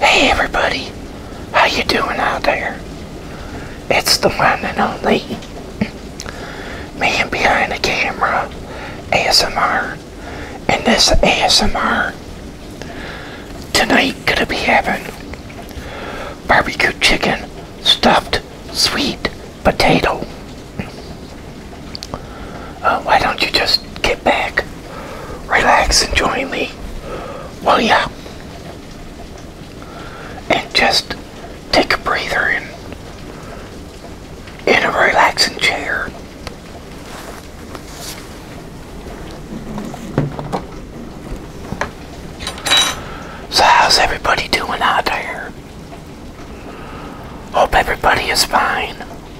Hey everybody, how you doing out there? It's the one and only man behind the camera, ASMR, and this ASMR tonight gonna be having barbecue chicken stuffed sweet potato. Uh, why don't you just back, relax, and join me, will ya? And just take a breather in, in a relaxing chair. So how's everybody doing out there? Hope everybody is fine.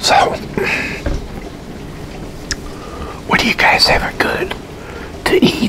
So, what do you guys have good to eat?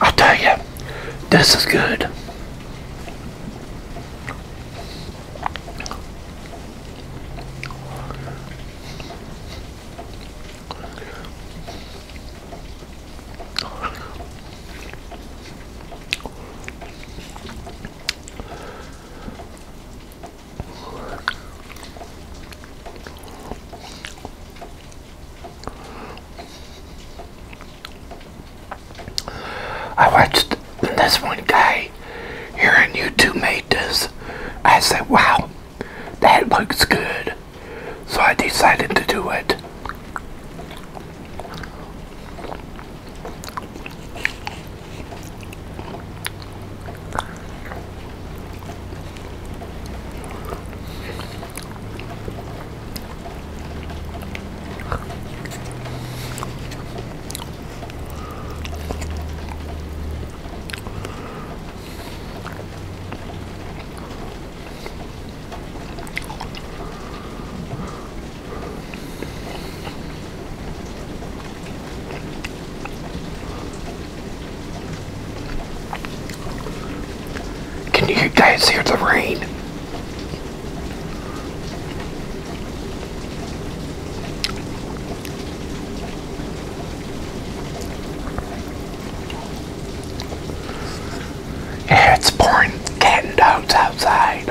i tell you, this is good. I watched this one guy day hearing you two made this, I said, wow, that looks good. So I decided to do it. Can you guys hear the rain? it's pouring cats and dogs outside.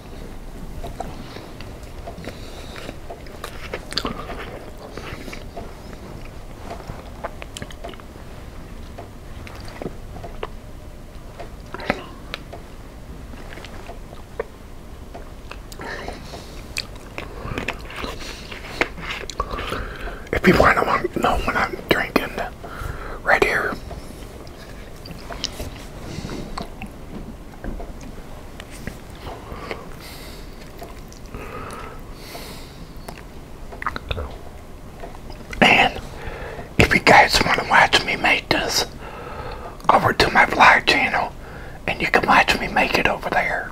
If people want to know when I'm drinking, right here. And if you guys want to watch me make this, over to my vlog channel and you can watch me make it over there.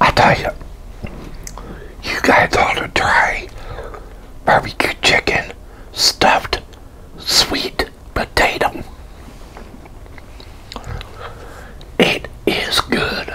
I tell you, you guys ought to try barbecue chicken stuffed sweet potato. It is good.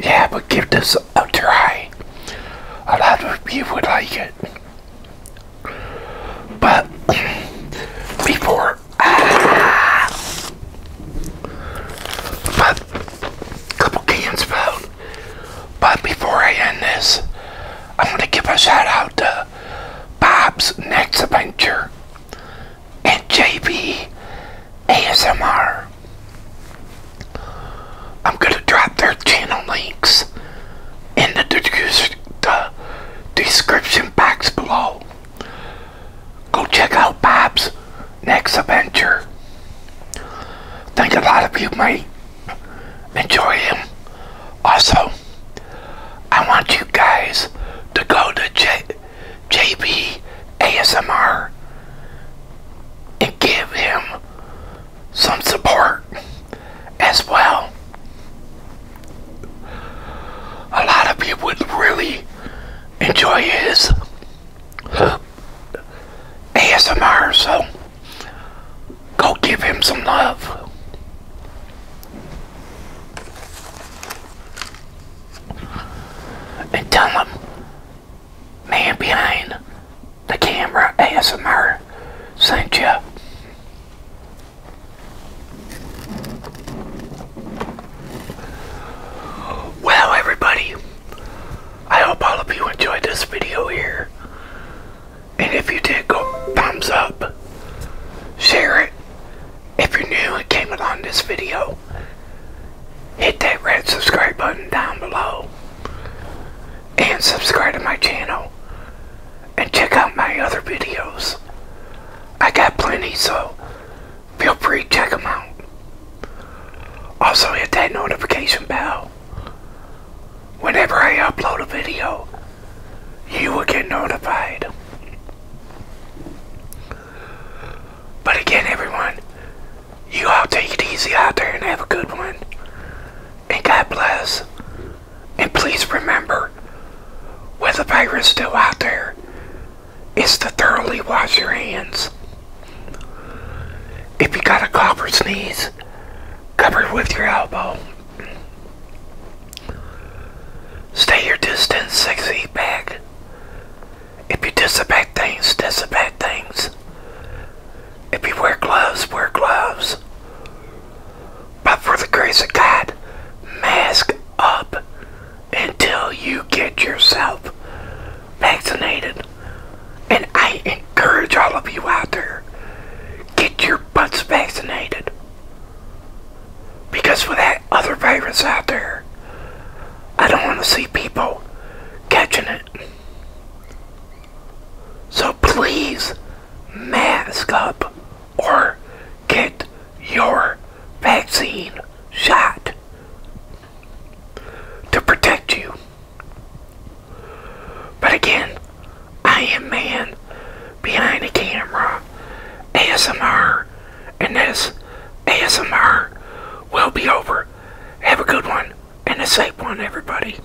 Yeah, but give this a try. A lot of people like it. But before, but a couple cans found. But before I end this, I'm going to give a shout out to Bob's Next Adventure and JB ASMR. I'm going to drop their channel links in the, description box below. Go check out Bob's next adventure. Think a lot of you might enjoy him. Also, I want you guys to go to J and give him some support as well. A lot of people would really enjoy his ASMR, so go give him some love. And tell him, man behind the camera ASMR sent you. Well, everybody, I hope all of you enjoyed this video here. And if you did, go thumbs up, share it. If you're new and came along this video, hit that red subscribe button down below and subscribe to my channel and check out my other videos. I got plenty, so feel free to check them out. Also, hit that notification bell. Whenever I upload a video, you will get notified. But again, everyone, you all take it easy out there and have a good one. And God bless. And please remember, with the virus still out there, is to thoroughly wash your hands. If you got a cough or sneeze, cover it with your elbow. Stay your distance six feet back. If you disinfect things, disinfect things. If you wear gloves, wear gloves. But for the grace of God, mask up until you get yourself vaccinated. And I encourage all of you out there, get your butts vaccinated. Because with that other virus out there, I don't want to see people catching it. So please, mask up or get your vaccine shot to protect you. But again, I am man behind the camera, ASMR, and this ASMR will be over. Have a good one and a safe one, everybody.